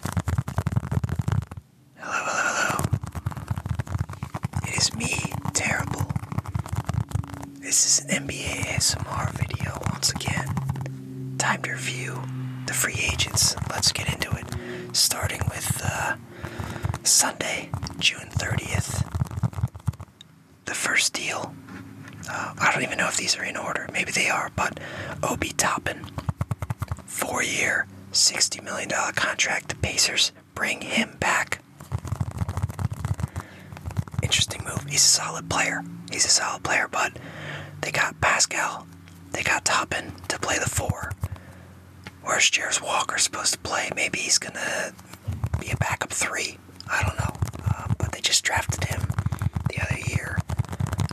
Hello, hello, hello. It is me, Terrible. This is an NBA ASMR video once again. Time to review the free agents. Let's get into it. Starting with uh, Sunday, June 30th. The first deal. Uh, I don't even know if these are in order. Maybe they are, but Obi Toppin four year, $60 million contract. The Pacers bring him back. Interesting move. He's a solid player. He's a solid player, but they got Pascal, they got Toppin to play the four. Where's Jairus Walker supposed to play? Maybe he's gonna be a backup three. I don't know. Uh, but they just drafted him the other year.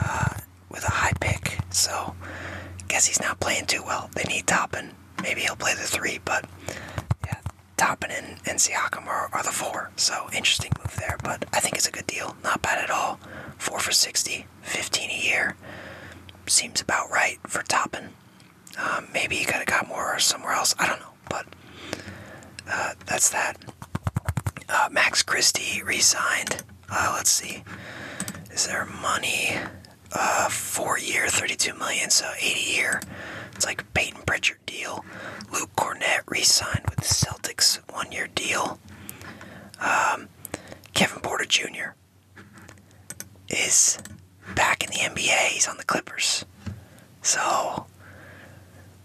Uh, with a high pick. So, guess he's not playing too well. They need Toppin. Maybe he'll play the three, but yeah, Toppin and, and Siakam are, are the four. So, interesting move there, but I think it's a good deal. Not bad at all. Four for 60, 15 a year. Seems about right for Toppin. Um, maybe he could have got more somewhere else. I don't know, but uh, that's that. Uh, Max Christie re signed. Uh, let's see. Is there money? Uh, four year, 32 million, so 80 year. It's like Peyton Pritchard deal. Luke Cornett re-signed with the Celtics, one year deal. Um, Kevin Porter Jr. is back in the NBA. He's on the Clippers. So,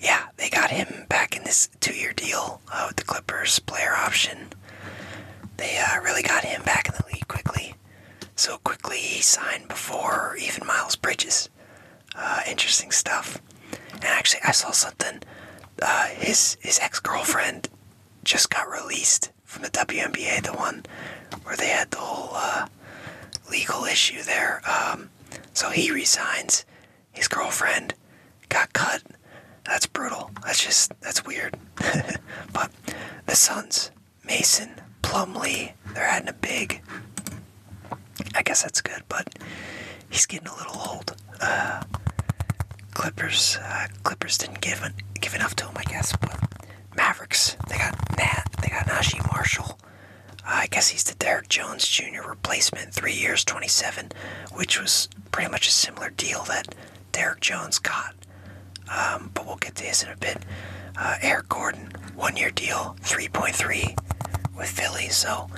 yeah, they got him back in this two-year deal uh, with the Clippers, player option. They uh, really got him back in the league quickly. So quickly he signed before even Miles Bridges. Uh, interesting stuff. And actually, I saw something. his his ex girlfriend just got released from the WNBA, the one where they had the whole legal issue there. Um, so he resigns, his girlfriend got cut. That's brutal. That's just, that's weird. but the sons, Mason, Plumlee, they're adding a big. I guess that's good, but he's getting a little old. Uh, Clippers, uh, Clippers didn't give, give enough to him, I guess. But Mavericks, they got Nat, they got Najee Marshall. I guess he's the Derrick Jones Jr. replacement, three years, 27, which was pretty much a similar deal that Derek Jones got. Um, but we'll get to his in a bit. Uh, Eric Gordon, one year deal, 3.3 with Philly, so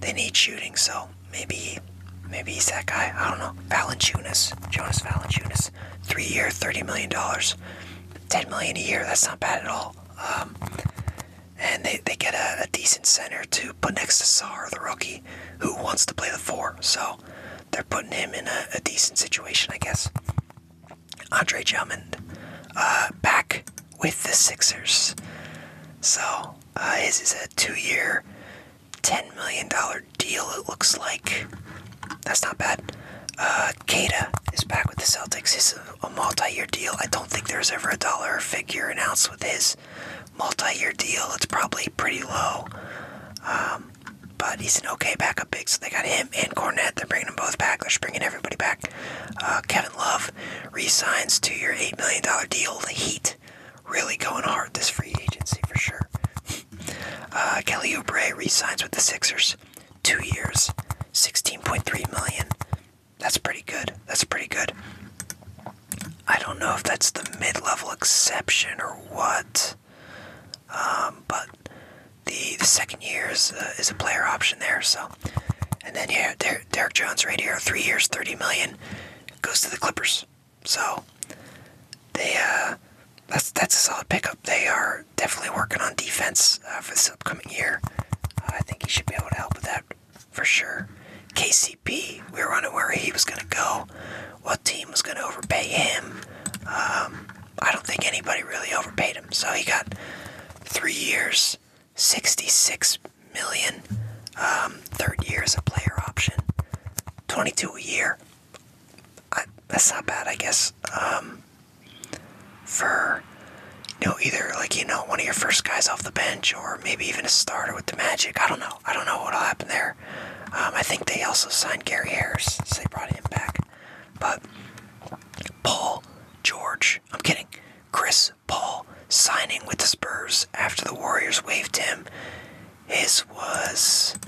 they need shooting, so maybe maybe he's that guy. I don't know. Valanchunas, Jonas Valanchunas, three year, $30 million, $10 a year. That's not bad at all. Um, and they, they get a, decent center to put next to Sar, the rookie who wants to play the four. So they're putting him in a, decent situation, I guess. Andre Drummond uh, back with the Sixers. So this uh, is a two-year, ten million dollar deal. It looks like that's not bad. Uh, is back with the Celtics. It's a, a multi-year deal. I don't think there's ever a dollar figure announced with his, multi-year deal. It's probably pretty low, um, but he's an okay backup big. So they got him and Cornett. They're bringing them both back. They're bringing everybody back. Uh, Kevin Love re-signs to your eight million dollar deal. The Heat really going hard this free agency for sure. uh, Kelly Oubre re-signs with the Sixers, two years, sixteen point three million. That's pretty good. That's pretty good. I don't know if that's the mid level exception or what. Um, but the the second year is, is a player option there. So, and then yeah, Derek Jones right here, three years, thirty million, goes to the Clippers. So they uh, that's that's a solid pickup. They are definitely working on defense uh, for this upcoming year. Uh, I think he should be able to help with that for sure. Casey we were wondering where he was going to go, what team was going to overpay him. Um, I don't think anybody really overpaid him. So he got three years, 66 million. Um, third year is a player option, 22 a year. that's not bad, I guess. Um, for you know, either like you know, one of your first guys off the bench, or maybe even a starter with the Magic. I don't know. I don't know what'll happen there. Um, I think they also signed Gary Harris, so they brought him back. But Paul George, I'm kidding. Chris Paul signing with the Spurs after the Warriors waived him. His was,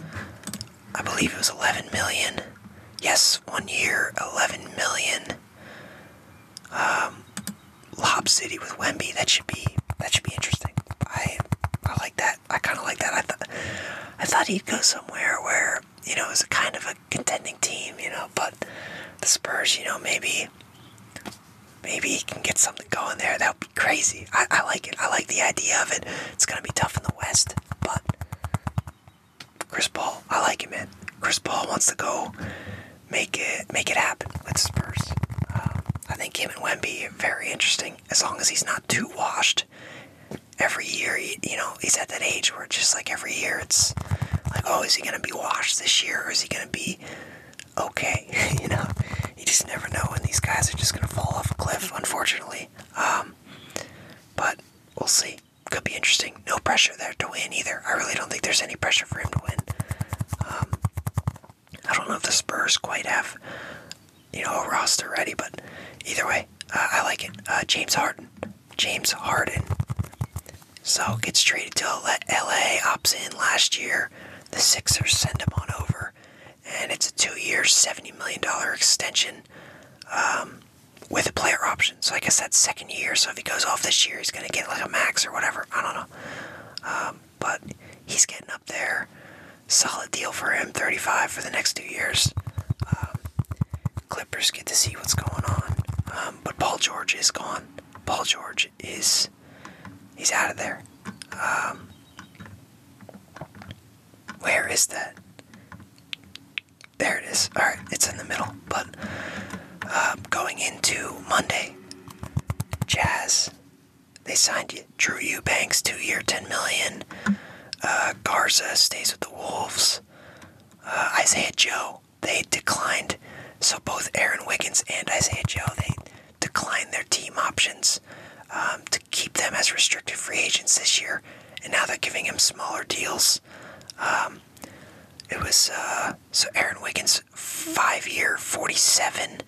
I believe it was 11 million. Yes, one year, 11 million. Um, Lob City with Wemby. That should be that should be interesting. I I like that. I kind of like that. I thought I thought he'd go somewhere where you know it was a kind of a contending team, you know. But the Spurs, you know, maybe maybe he can get something going there. That will be crazy. I, I like it. I like the idea of it. It's gonna be tough in the West, but Chris Paul, I like him, man. Chris Paul wants to go make it make it happen with Spurs. Um, I think Kim and Wemby are very interesting as long as he's not too washed. Every year, you know, he's at that age where just like every year, it's like, oh, is he gonna be washed this year, or is he gonna be okay? you know, you just never know, when these guys are just gonna fall off a cliff, unfortunately. Um, but we'll see. Could be interesting. No pressure there to win either. I really don't think there's any pressure for him to win. Um, I don't know if the Spurs quite have, you know, a roster ready, but either way, uh, I like it. Uh, James Harden. James Harden. So gets traded to LA, opts in last year. The Sixers send him on over, and it's a two-year, seventy million dollar extension um, with a player option. So I guess that's second year. So if he goes off this year, he's gonna get like a max or whatever. I don't know. Um, but he's getting up there. Solid deal for him, 35 for the next two years. Um, Clippers get to see what's going on, um, but Paul George is gone. Paul George is he's out of there. Um, where is that? There it is. All right, it's in the middle. But uh, going into Monday, Jazz they signed you. Drew Eubanks, two-year, ten million. Uh, Garza stays with the Wolves. Uh, Isaiah Joe, they declined. So both Aaron Wiggins and Isaiah Joe, they declined their team options um, to keep them as restricted free agents this year. And now they're giving him smaller deals. Um, it was uh, so Aaron Wiggins, five year, 47.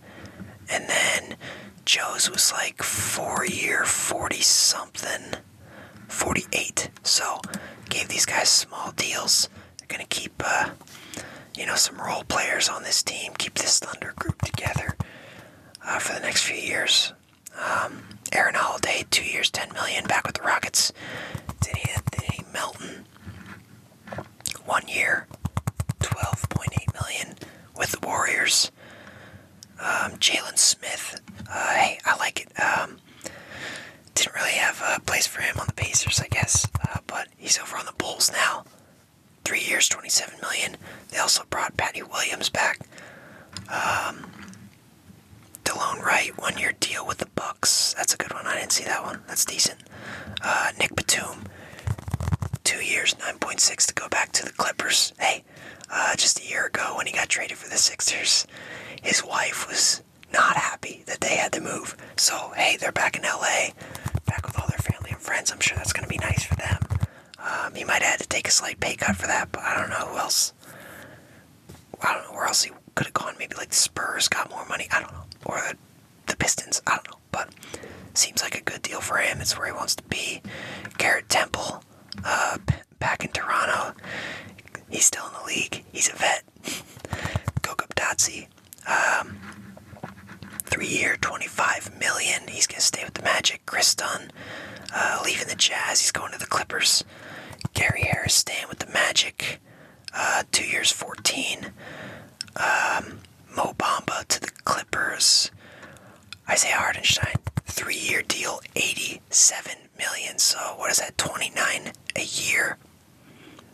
And then Joe's was like four year, 40 something, 48. So gave these guys small deals. They're going to keep, uh, you know, some role players on this team, keep this Thunder group together uh, for the next few years. Um, Aaron Holiday, two years, 10 million, back with the Rockets. Did he, did he Melton, one year, 12.8 million with the Warriors. Um, Jalen Smith, uh, I like it. Um, didn't really have a place for him on the Pacers, I guess, uh, but he's over on the Bulls now. Three years, 27 million. They also brought Patty Williams back. Um, Wright, one year deal with the Bucks. That's a good one. I didn't see that one. That's decent. Uh, Nick Batum, two years, 9.6 to go back to the Clippers. Hey, uh, just a year ago when he got traded for the Sixers, his wife was not happy that they had to move. So, hey, they're back in LA, back with all their family and friends. I'm sure that's going to be nice for them. Um, he might have had to take a slight pay cut for that, but I don't know who else. I don't know where else he could have gone. Maybe like the Spurs got more money. I don't know. Or the Pistons. I don't know but seems like a good deal for him. It's where he wants to be. Garrett Temple, uh, back in Toronto. He's still in the league. He's a vet. Koko Dotsie, um, three-year, 25 million. He's gonna stay with the Magic. Chris Dunn, uh, leaving the Jazz. He's going to the Clippers. Gary Harris staying with the Magic. Uh, two years, 14 um, Mo Bamba to the Clippers. Isaiah Hardenstein, three-year deal, eighty-seven million. So what is that? Twenty-nine a year.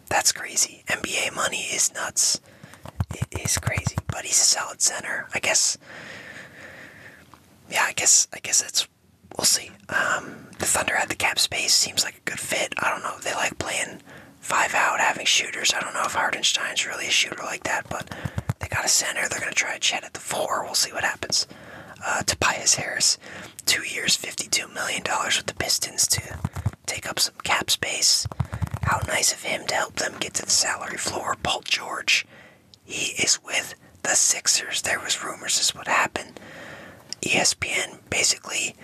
That's crazy. NBA money is nuts. It is crazy, but he's a solid center. I guess. Yeah, I guess. I guess it's. We'll see. Um, the Thunder had the cap space. Seems like good fit. I don't know. They like playing five out, having shooters. I don't know if Hardenstein's really a shooter like that, but they got a center. They're going to try Chet at the four. We'll see what happens. Uh, Tobias Harris, two years, $52 million with the Pistons to take up some cap space. How nice of him to help them get to the salary floor. Paul George, he is with the Sixers. There was rumors this would happen. ESPN basically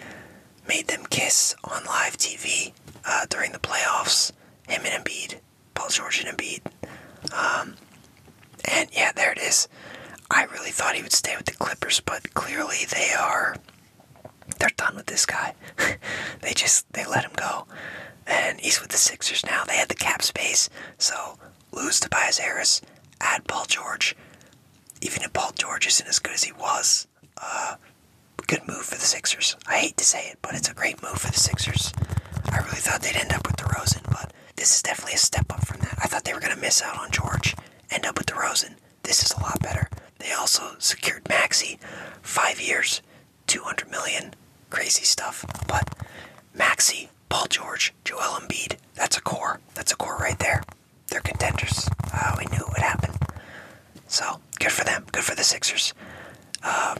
made them kiss on live TV uh, during the playoffs. Him and Embiid, Paul George and Embiid. Um, and yeah, there it is. I really thought he would stay with the Clippers, but clearly they are. They're done with this guy. they just they let him go, and he's with the Sixers now. They had the cap space, so lose Tobias Harris, add Paul George. Even if Paul George isn't as good as he was, uh, good move for the Sixers. I hate to say it, but it's a great move for the Sixers. I really thought they'd end up with the DeRozan, but this is definitely a step up from that. I thought they were going to miss out on George, end up with the DeRozan. This is a lot better. They also secured Maxi, five years, 200 million, crazy stuff. But Maxi, Paul George, Joel Embiid, that's a core. That's a core right there they're contenders. Uh, we knew it would happen. So good for them. Good for the Sixers. Uh,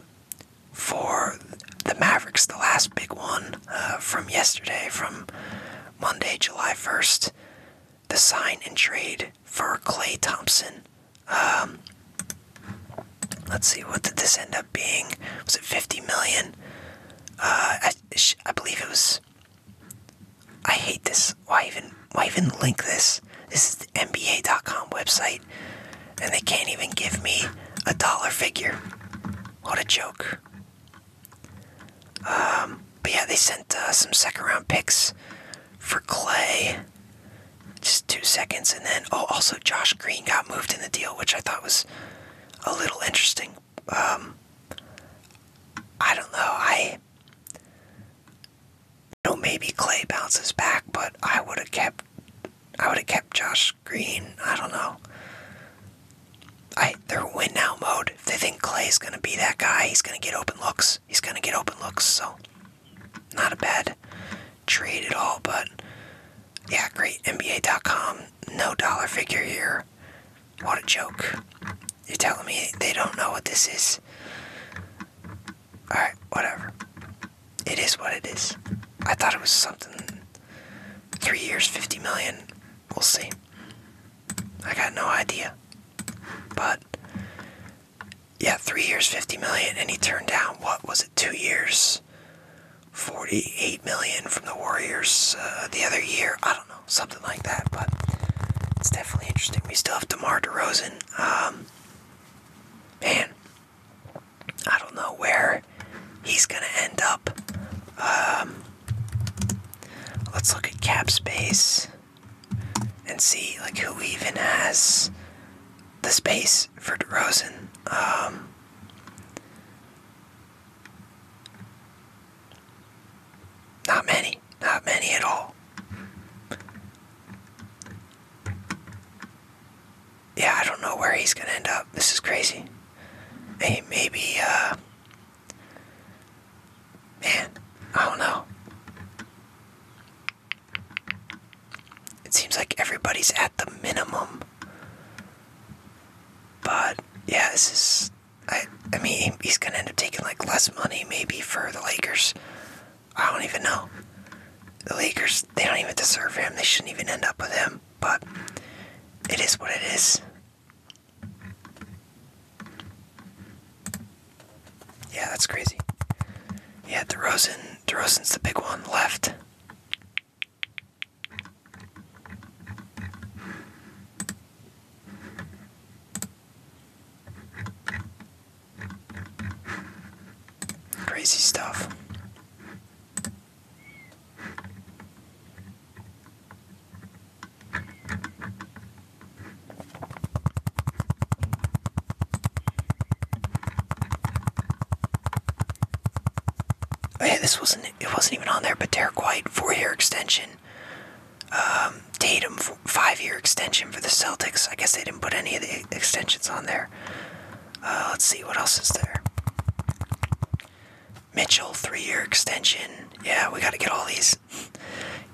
for the Mavericks, the last big one uh, from yesterday, from Monday, July 1st, the sign and trade for Clay Thompson. Um, let's see, what did this end up being? Was it 50 million? I believe it was I hate this. Why even why even link this? This is the NBA.com website and they can't even give me a dollar figure. What a joke. Um, but yeah, they sent uh, some second round picks for Clay. Just two seconds. And then, oh, also Josh Green got moved in the deal, which I thought was a little interesting. Um, I don't know. I you maybe Clay bounces back, but I would have kept I would have kept Josh Green. I don't know. I they're win now mode. If they think Clay's gonna be that guy, he's gonna get open looks. He's gonna get open looks, so not a bad trade at all, but yeah, great. NBA.com, no dollar figure here. What a joke. You're telling me they don't know what this is? Alright, whatever. It is what it is. I thought it was something. Three years, 50 million. We'll see. I got no idea. But, yeah, three years, 50 million, and he turned down, what was it, two years? 48 million from the Warriors uh, the other year. I don't know something like that. But it's definitely interesting. We still have DeMar DeRozan. Um, man, I don't know where he's gonna end up. Um, let's look at cap space and see like who even has the space for DeRozan. Um, not many. Not many at all. Yeah, I don't know where he's gonna end up. This is crazy. Hey, maybe, uh. Man, I don't know. It seems like everybody's at the minimum. But, yeah, this is. I, I mean, he's gonna end up taking like less money maybe for the Lakers. I don't even know. The Lakers, they don't even deserve him. They shouldn't even end up with him. But it is what it is. Yeah, that's crazy. Yeah, DeRozan. DeRozan's the big one left. Crazy stuff. Oh this wasn't it wasn't even on there, but white four hair extension extension. Um, Tatum, five-year extension for the Celtics. I guess they didn't put any of the extensions on there. Uh, let's see what else is there. Mitchell, three-year extension. Yeah, we got to get all these.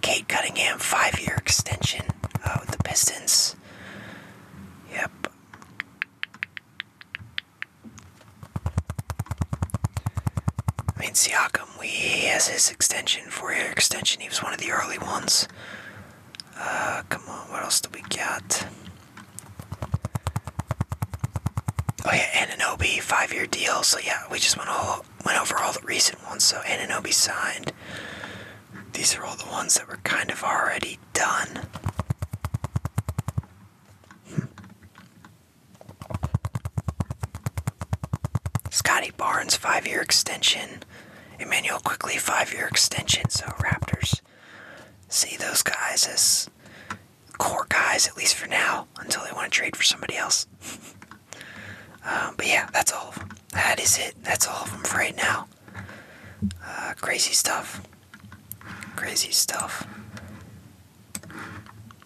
Kate Cunningham, five-year extension Oh, the Pistons. Yep. I um, he has his extension, for year extension. He was one of the early ones. Uh, come on, what else do we got? Oh yeah, Ananobi, five-year deal. So yeah, we just went all went over all the recent ones. So Ananobi signed. These are all the ones that were kind of already done. Scotty Barnes, five year extension. Emmanuel Quickly, five year extension. So, Raptors see those guys as core guys, at least for now, until they want to trade for somebody else. Um, but yeah, that's all That is it. That's all of them for right now. Uh, crazy stuff. Crazy stuff.